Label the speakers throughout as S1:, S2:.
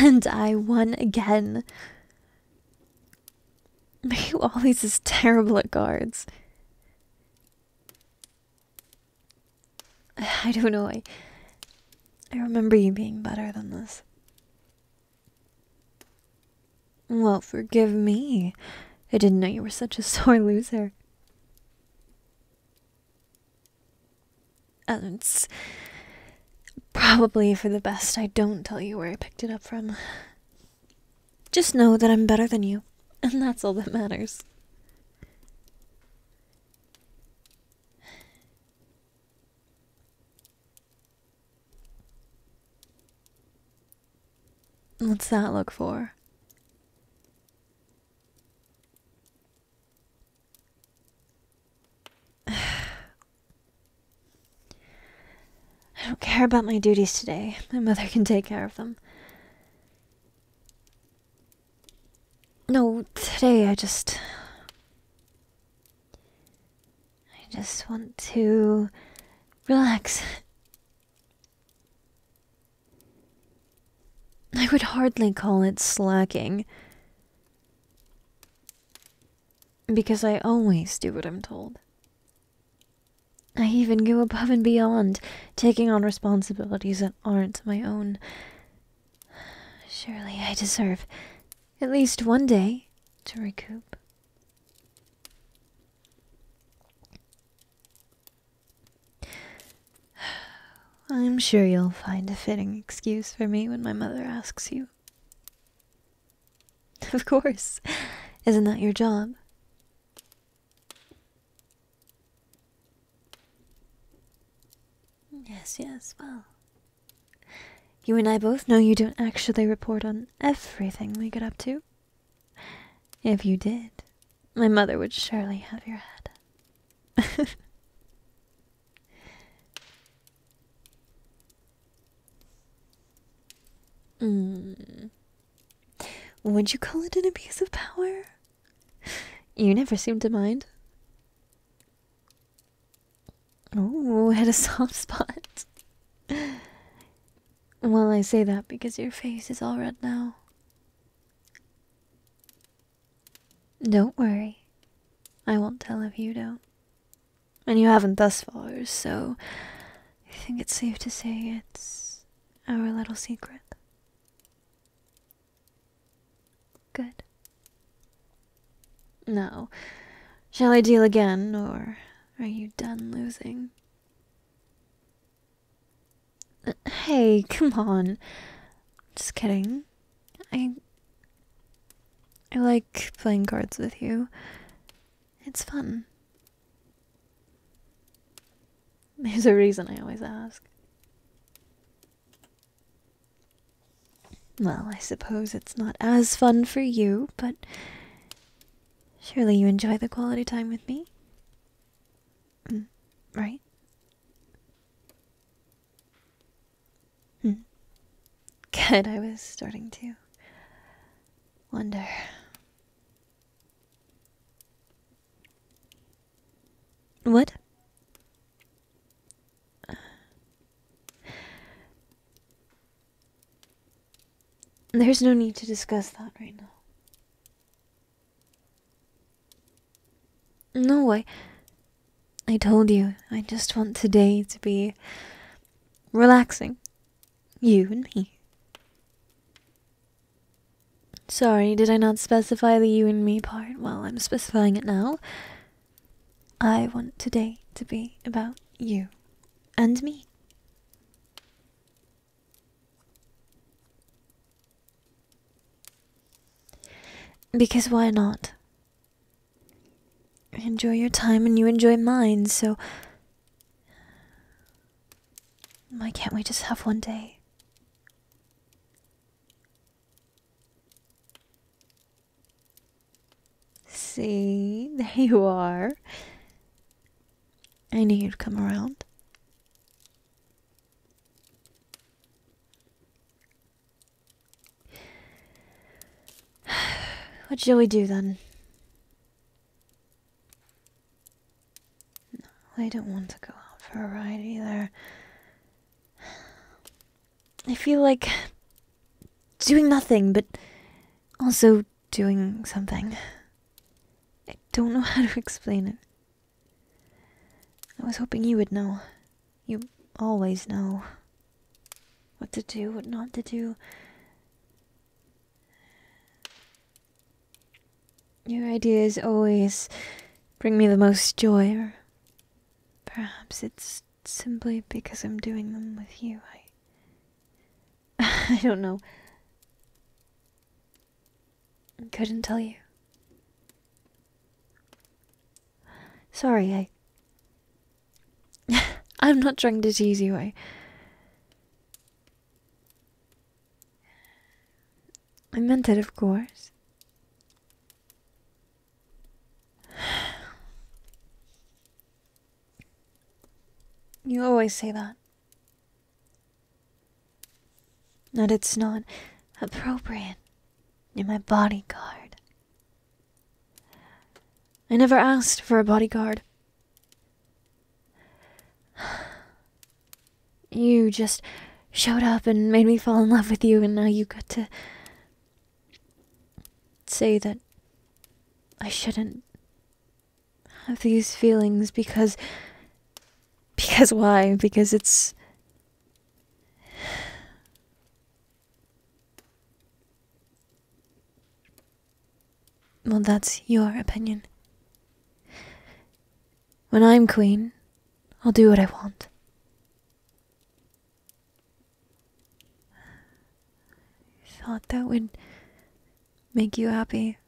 S1: And I won again. Mayu always is terrible at guards. I don't know. I, I remember you being better than this. Well, forgive me. I didn't know you were such a sore loser. And it's probably for the best I don't tell you where I picked it up from. Just know that I'm better than you, and that's all that matters. What's that look for? I don't care about my duties today. My mother can take care of them. No, today I just. I just want to relax. I would hardly call it slacking. Because I always do what I'm told. I even go above and beyond, taking on responsibilities that aren't my own. Surely I deserve at least one day to recoup. I'm sure you'll find a fitting excuse for me when my mother asks you. Of course. Isn't that your job? Yes, yes, well. You and I both know you don't actually report on everything we get up to. If you did, my mother would surely have your head. Hmm. Would you call it an abuse of power? You never seem to mind. Oh, I had a soft spot. well, I say that because your face is all red now. Don't worry. I won't tell if you don't. And you haven't thus far, so I think it's safe to say it's our little secret. Good. No, shall I deal again, or are you done losing? Hey, come on. Just kidding. I. I like playing cards with you. It's fun. There's a reason I always ask. Well, I suppose it's not as fun for you, but surely you enjoy the quality time with me? Mm, right? Mm. Good, I was starting to wonder. What? There's no need to discuss that right now. No, way. I told you, I just want today to be relaxing. You and me. Sorry, did I not specify the you and me part? Well, I'm specifying it now. I want today to be about you and me. Because why not? enjoy your time and you enjoy mine, so. Why can't we just have one day? See, there you are. I knew you'd come around. What shall we do then? No, I don't want to go out for a ride either. I feel like doing nothing, but also doing something. I don't know how to explain it. I was hoping you would know. You always know what to do, what not to do. Your ideas always bring me the most joy Perhaps it's simply because I'm doing them with you. I. I don't know. Couldn't tell you. Sorry, I. I'm not trying to tease you. I. I meant it, of course. You always say that. That it's not appropriate in my bodyguard. I never asked for a bodyguard. You just showed up and made me fall in love with you, and now you got to say that I shouldn't have these feelings because. Because why? Because it's. Well, that's your opinion. When I'm queen, I'll do what I want. I thought that would make you happy.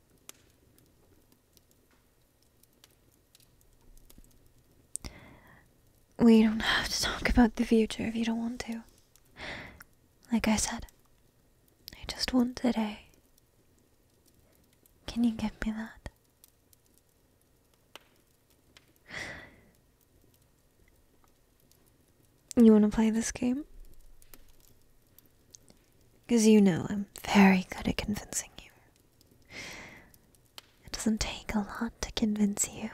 S1: We don't have to talk about the future if you don't want to. Like I said, I just want today. Can you give me that? You want to play this game? Because you know I'm very good at convincing you. It doesn't take a lot to convince you.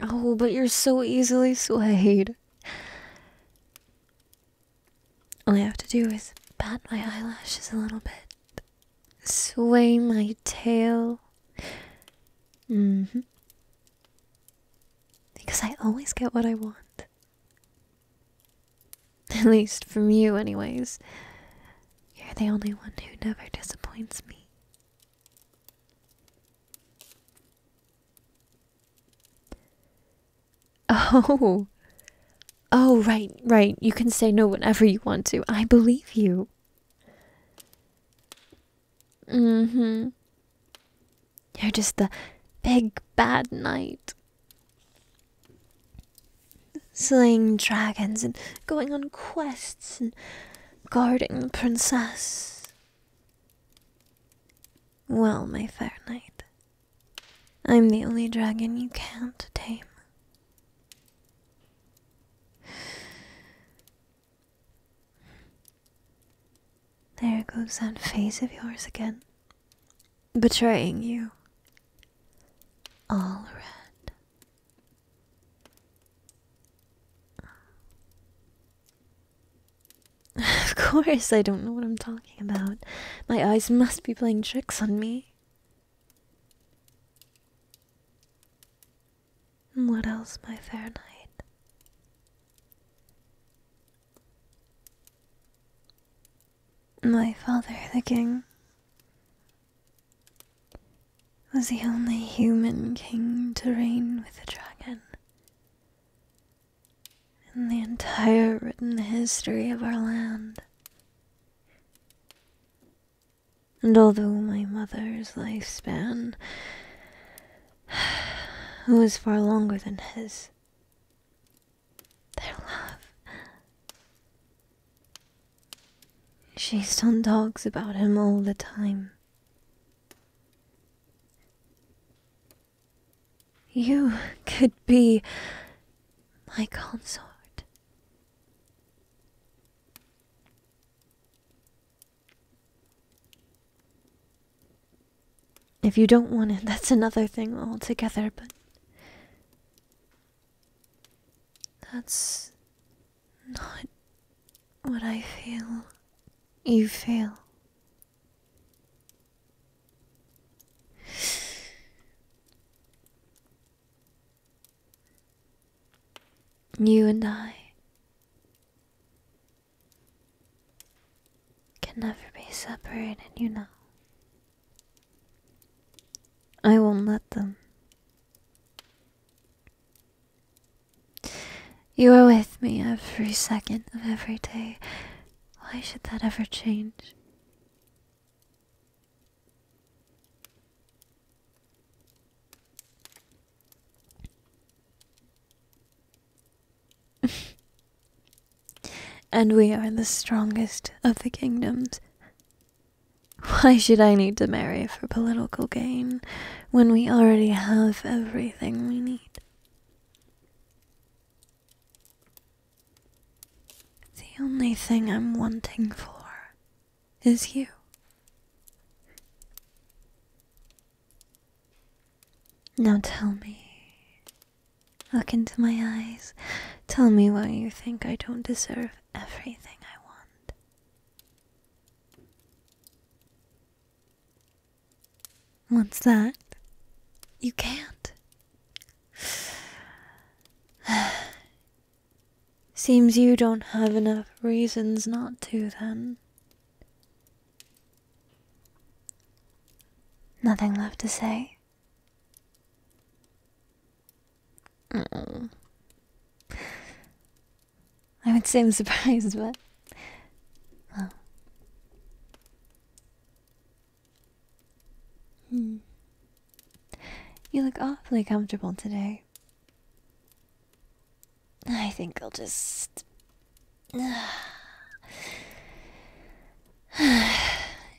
S1: Oh, but you're so easily swayed. All I have to do is bat my eyelashes a little bit, sway my tail. Mm Because I always get what I want. At least from you, anyways. You're the only one who never disappoints me. Oh. Oh, right, right. You can say no whenever you want to. I believe you. Mm hmm. You're just the big bad knight. Slaying dragons and going on quests and guarding the princess. Well, my fair knight, I'm the only dragon you can't tame. There goes that face of yours again, betraying you. All red. Of course, I don't know what I'm talking about. My eyes must be playing tricks on me. What else, my fair knight? My father, the king, was the only human king to reign with a dragon in the entire written history of our land. And although my mother's lifespan was far longer than his, their love. She still talks about him all the time. You could be my consort. If you don't want it, that's another thing altogether, but that's not what I feel you feel you and I can never be separated, you know. I won't let them. You are with me every second of every day. Why should that ever change? and we are the strongest of the kingdoms. Why should I need to marry for political gain when we already have everything we need? The only thing I'm wanting for is you. Now tell me. Look into my eyes. Tell me why you think I don't deserve everything I want. What's that? You can't. Seems you don't have enough reasons not to, then. Nothing left to say. Mm. I would say I'm surprised, but. Hmm. You look awfully comfortable today. I think I'll just.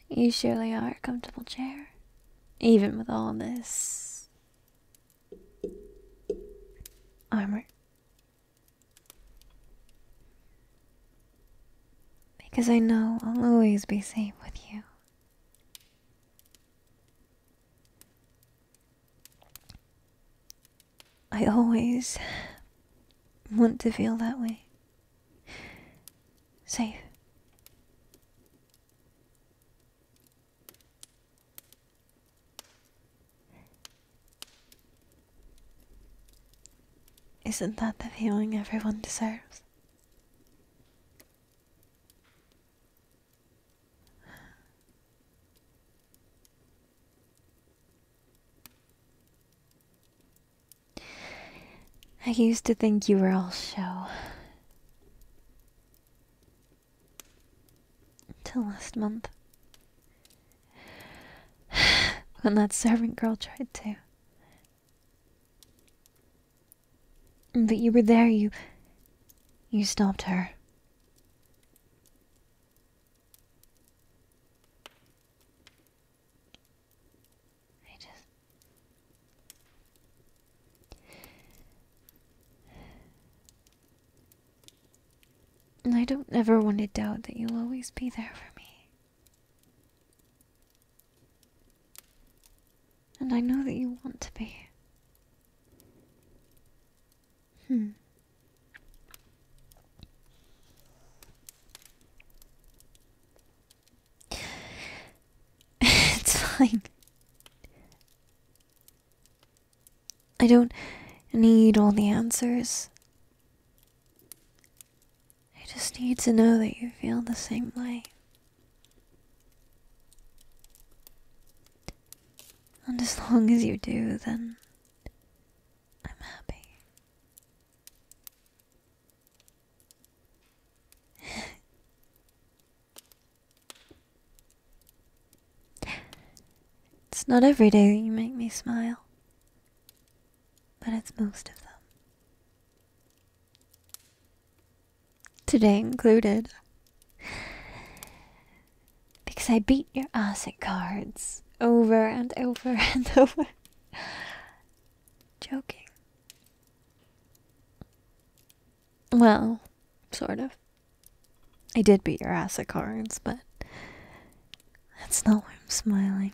S1: you surely are a comfortable chair, even with all this. armor. Because I know I'll always be safe with you. I always want to feel that way. Safe. Isn't that the feeling everyone deserves? I used to think you were all show. Till last month. when that servant girl tried to. But you were there, you. you stopped her. I just. I don't ever want to doubt that you'll always be there for me. And I know that you want to be. Hmm. it's fine. I don't need all the answers. I just need to know that you feel the same way. And as long as you do, then I'm happy. it's not every day that you make me smile, but it's most of them. Today included. Because I beat your ass at cards over and over and over. Joking. Well, sort of. I did beat your ass at cards, but that's not why I'm smiling.